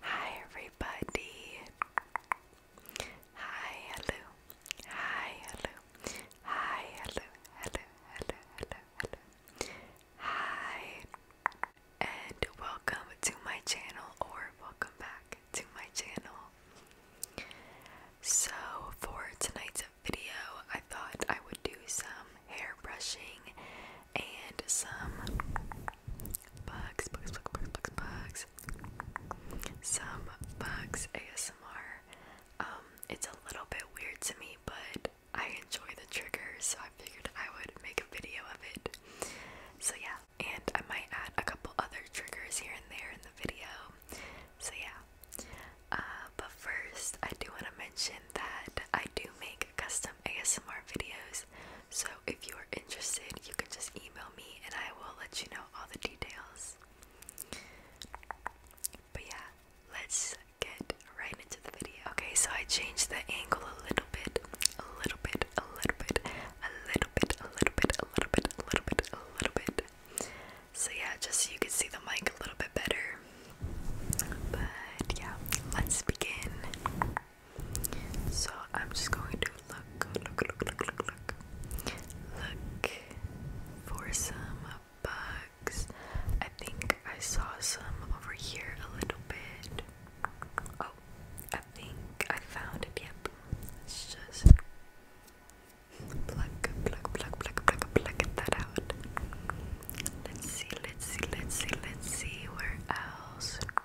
Hi everybody. Hi, hello. Hi, hello. Hi, hello. Hello, hello, hello, hello. Hi. And welcome to my channel or welcome back to my channel. So, for tonight's video, I thought I would do some hair brushing and some bugs, bugs, bugs, bugs, bugs, bugs. Some bugs ASMR. Um, it's a little bit weird to me, but I enjoy the trigger, so I figured I would make a video of it. So yeah, and I might add a couple other triggers here and there in the video. So yeah. Uh, but first, I do want to mention that I do make custom ASMR videos so if you are interested, you can just email me and I will let you know all the details. But yeah, let's get right into the video. Okay, so I changed the angle a little bit, a little bit, a little bit, a little bit, a little bit, a little bit, a little bit, a little bit. So yeah, just so you can see the mic a little bit better. But yeah, let's begin. So I'm just going to look, look, look, look, look, look, look for some bugs. I think I saw some over here a little bit. Oh, I think I found it. Yep. Let's just pluck, pluck, pluck, pluck, pluck, pluck that out. Let's see, let's see, let's see, let's see where else.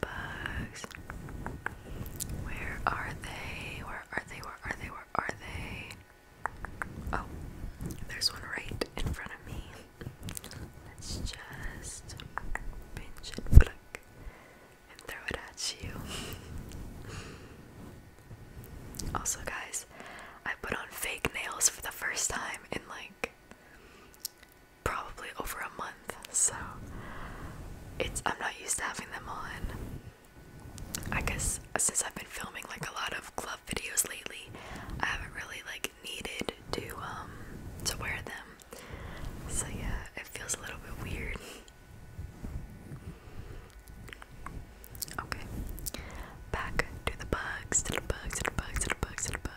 bugs. Where are they? Where are they? Where are they? Where are they? Oh, there's one right in front of me. Let's just pinch and pluck and throw it at you. also, guys, I put on fake nails for the first time in like probably over a month, so it's I'm not used to having them on. I guess since I've been filming like a lot of club videos lately, I haven't really like needed to um to wear them. So yeah, it feels a little bit weird. Okay. Back to the bugs, to bugs, to bugs, to bugs, to bugs.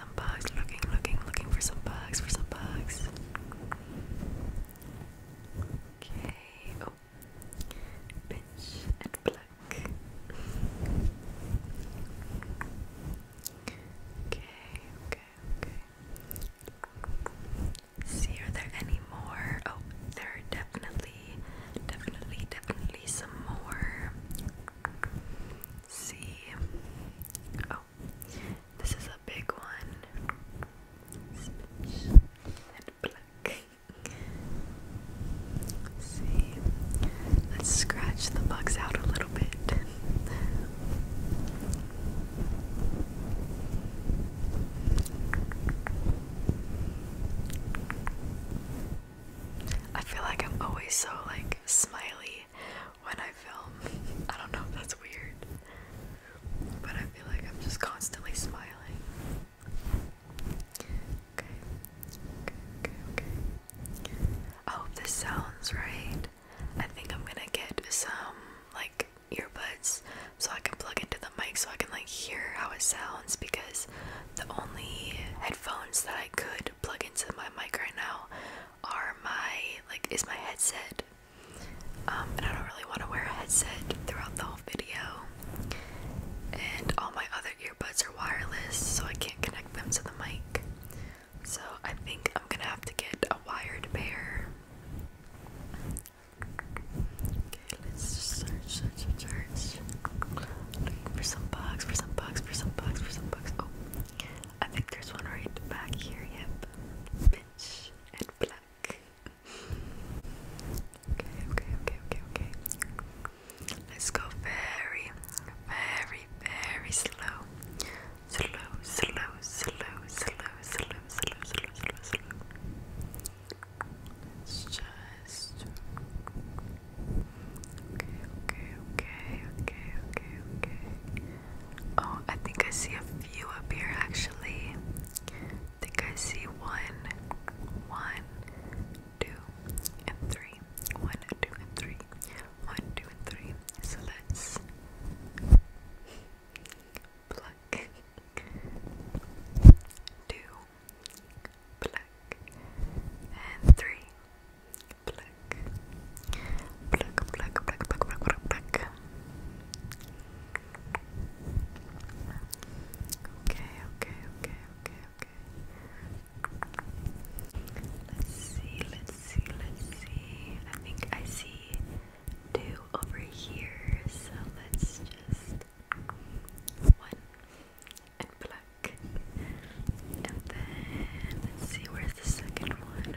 some bugs, looking, looking, looking for some bugs, for some bugs. Okay, oh, pinch and pluck. Okay, okay, okay. See, are there any more? Oh, there are definitely, definitely, definitely some more. See, oh, this is a big one. Spinach and black. see. Let's scratch the bugs out a little bit. I feel like I'm always so like smiley when I film. I don't know that's weird, but I feel like I'm just constantly smiling. okay, okay, okay. I hope this sounds right. I think I'm gonna get some like earbuds so I can plug into the mic so I can like hear how it sounds because the only headphones that I could plug into my mic right now are my like is my headset. Um, and I don't really want to wear a headset throughout the whole video. And all my other earbuds are wireless, so I can't connect them to the mic. So I think I'm gonna have to get a wired pair. Okay, let's just search, search, search. Looking for some bugs, for some bugs, for some bugs, for some bugs. Oh, I think there's one right back here, yep. Pitch and black. Okay, okay, okay, okay, okay. Let's go very, very, very slow. Slow, slow, slow, slow, slow, slow, slow, slow, slow. let Okay, okay, okay, okay, okay, okay. Oh, I think I see a few up here actually. I think I see one, one, two, and three. One, two, and three. One, two, and three. So let's pluck. Two, pluck, and three, pluck pluck. Pluck, pluck, pluck, pluck, pluck, pluck, pluck. Okay, okay, okay, okay, okay. Let's see, let's see, let's see. I think I see two over here, so let's just one and pluck. And then let's see where's the second one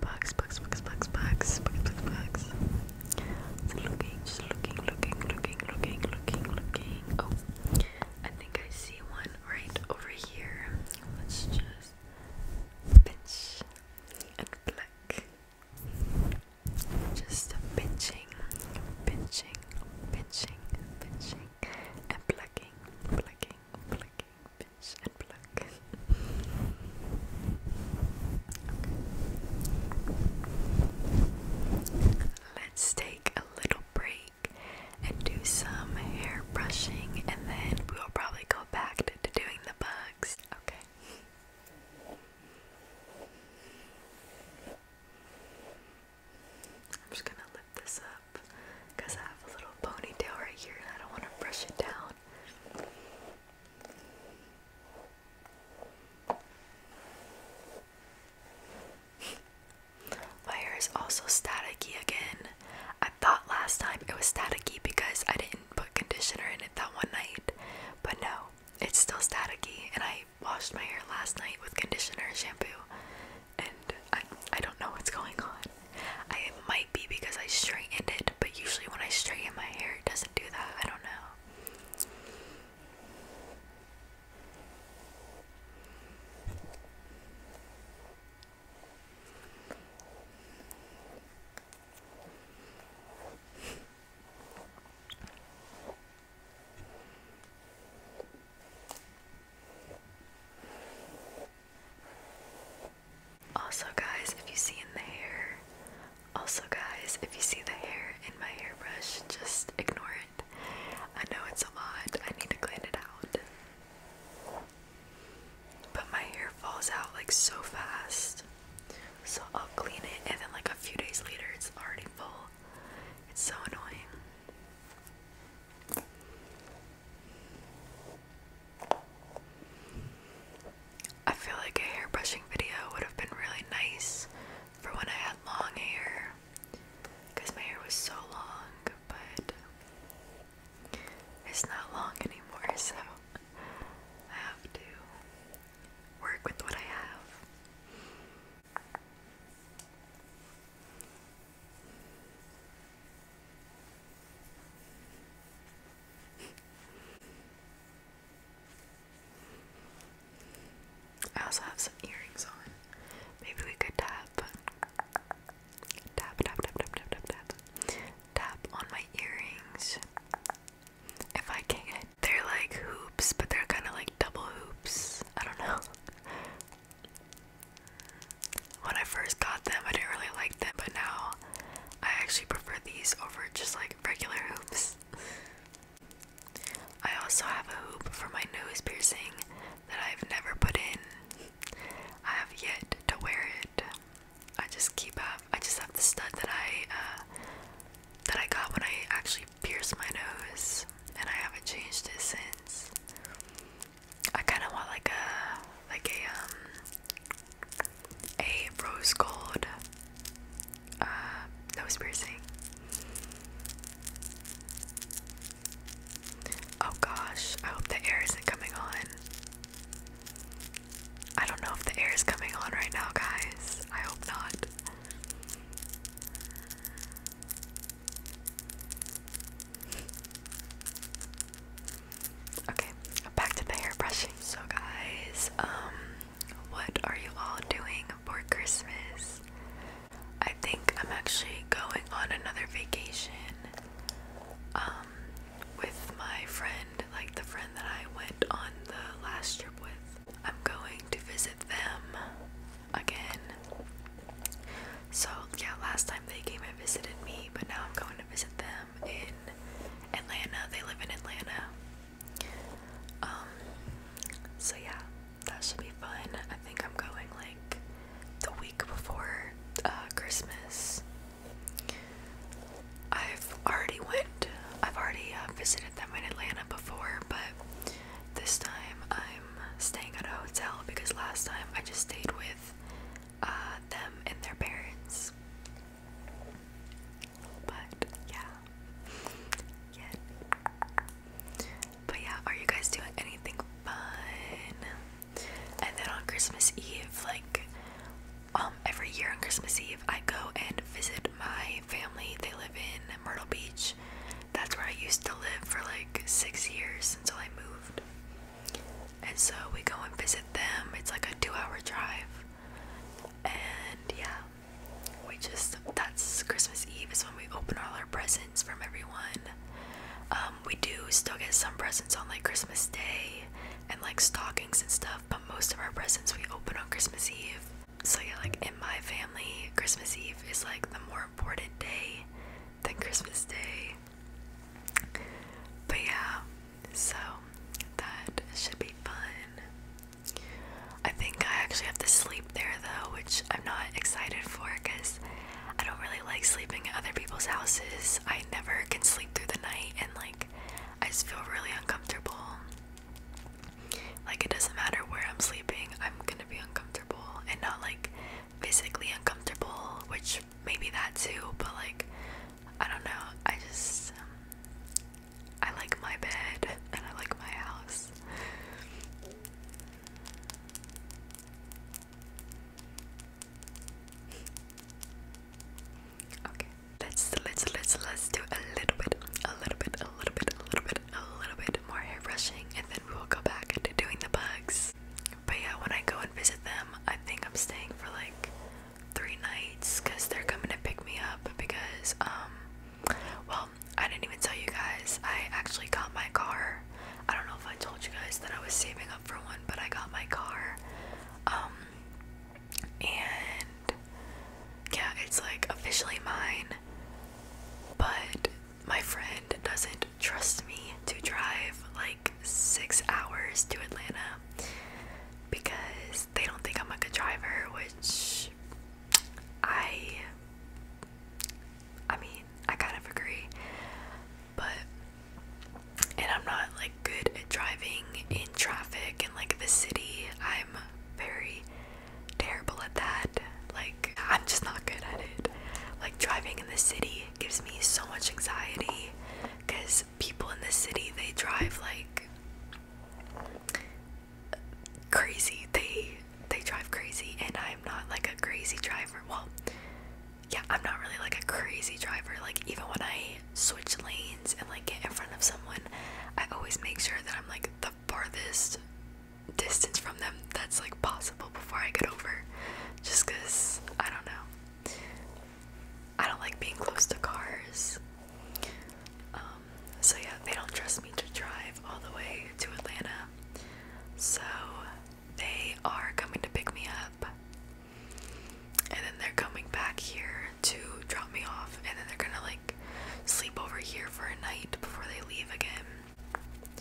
Bugs, bugs, bugs, bugs, bugs, bugs, bugs, bugs. looking, looking, looking, looking, looking, looking, looking. Oh, I think I see one right over here. Let's just pinch and pluck. Just pinching, pinching, pinching, pinching, and plucking, plucking, plucking, pinch and pluck okay. Let's take a little break and do some hair brushing, and then we'll probably go back to doing the bugs. Okay. I'm just gonna lift this up because I have a little ponytail right here and I don't want to brush it down. My hair is also staticky again. I thought last time it was staticky because I didn't put conditioner in it that one night, but no, it's still staticky. And I washed my hair last night with conditioner and shampoo, and I I don't know what's going on. I it might be because I straightened it but usually when I straighten my hair, it doesn't do that. I don't know. Also, guys, if you see in the hair, also, guys, if you see the hair in my hairbrush, just ignore it. I know it's a lot, I need to clean it out. But my hair falls out like so fast. So I'll clean it, and then, like, a few days later, it's already full. It's so annoying. I feel like a hair brushing video would have been really nice for when I had long hair because my hair was so long, but it's not long anymore, so I have to work with what I have. I also have some earrings on. Maybe we could tap. Tap, tap, tap, tap, tap, tap, tap. on my earrings. If I can. They're like hoops, but they're kind of like double hoops. I don't know. When I first got them, I didn't really like them, but now I actually prefer these over just like regular hoops. I also have a hoop for my nose piercing that I've never put in. I have yet to wear it. I just keep up. I just have the stud that I uh, that I got when I actually pierced my nose, and I haven't changed it since. I kind of want like a like a um, a rose gold uh, nose piercing. Oh gosh, I hope the air isn't coming on. I don't know if the air is coming on right now, guys. I hope not. Okay, back to the hair brushing. So, guys, um, what are you all doing for Christmas? I think I'm actually going on another vacation um, with my friend, like the friend that I went on the last trip with. I'm going to visit them again. So, yeah, last time they came and visited me, but now I'm going to visit them in Atlanta. They live in Atlanta. Um, so yeah, that should be fun. I think I'm going like the week before uh, Christmas. I've already went. I've already uh, visited them in Atlanta before, but this time I'm staying at a hotel because last time I just stayed with uh, them and their parents. But yeah. But yeah, are you guys doing anything fun? And then on Christmas Eve, like um every year on Christmas Eve I go and visit my family. They live in Myrtle Beach. That's where I used to live for like six years until I moved. And so we go and visit them. It's like a two hour drive. And yeah, we just that's Christmas Eve is when we open all our presents from everyone. Um, we do still get some presents on like Christmas Day and like stockings and stuff, but most of our presents we open on Christmas Eve. So yeah, like in my family, Christmas Eve is like the more important day than Christmas Day. But yeah, so that should be fun. I think I actually have to sleep there though, which I'm not excited for because I don't really like sleeping at other people's houses. I never can sleep through the night and like I just feel really uncomfortable. Like it doesn't matter where I'm sleeping, I'm gonna be uncomfortable and not like physically uncomfortable, which maybe that too, but like I don't know. I just um, I like my bed and I like my house. Okay, let's let's let's let's do a little bit, a little bit, a little bit, a little bit, a little bit more hair brushing, and then we will go back to doing the bugs. But yeah, when I go and visit them, I think I'm staying for like three nights because they're coming to pick me up because um well I didn't even tell you guys I actually got my car I don't know if I told you guys that I was saving up for one but I got my car um and yeah it's like officially mine but my friend doesn't trust me to drive like six hours to Atlanta because they don't think I'm a good driver, which I I mean, I kind of agree. But and I'm not like good at driving in traffic and like the city. I'm very terrible at that. Like I'm just not good at it. Like driving in the city gives me so much anxiety cuz people in the city they drive like crazy. They they drive crazy, and I'm not like a crazy driver. Well, yeah, I'm not really like a crazy driver. Like even when I switch lanes and like get in front of someone, I always make sure that I'm like the farthest distance from them that's like possible before I get over. Just cause I don't know. I don't like being close to cars. Um, so yeah, they don't trust me to drive all the way to Atlanta. So they are coming to pick me up. And then they're coming back here to drop me off. And then they're gonna like sleep over here for a night before they leave again.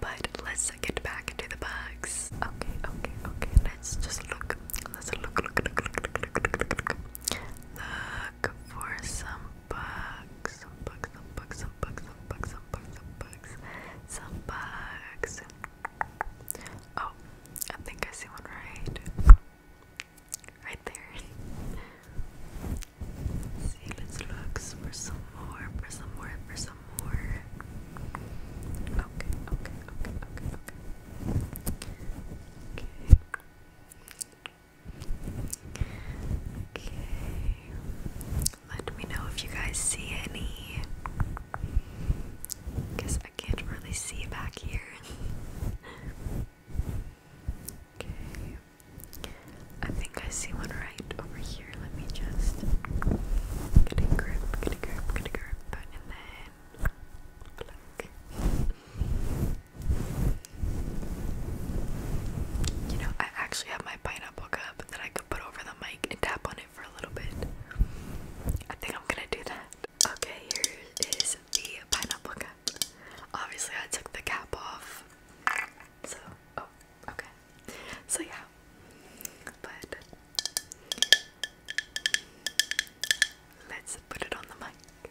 But let's get back into the bugs. Okay, okay, okay. Let's just look. Let's look, look, look, look, look, look, look, look. The look for some bugs, some bugs, some bugs, some bugs, some bugs, some bugs, some bugs, some bugs. Oh, I think I see one right, right there. Let's see, let's look for some more, for some more, for some more. Okay, okay, okay, okay, okay. Okay. Okay. Let me know if you guys see any. Because I can't really see back here. okay. I think I see one right over here. Let me just get a grip, get a grip, get a grip, and then look. You know, I actually have my pineapple cup that I could put over the mic and tap on it for a little bit. I think I'm gonna do that. Okay, here is the pineapple cup. Obviously, I took the cap off. So, oh, okay. So, yeah. But let's put it on the mic.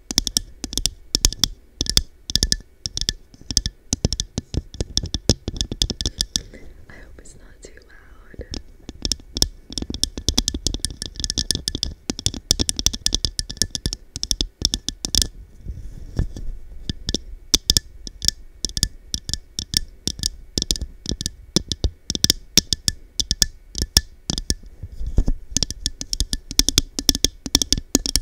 I hope it's not too loud.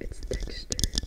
It's textured.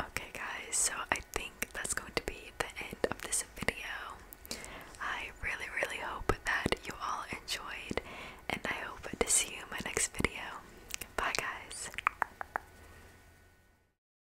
Okay, guys, so I think that's going to be the end of this video. I really, really hope that you all enjoyed, and I hope to see you in my next video. Bye, guys.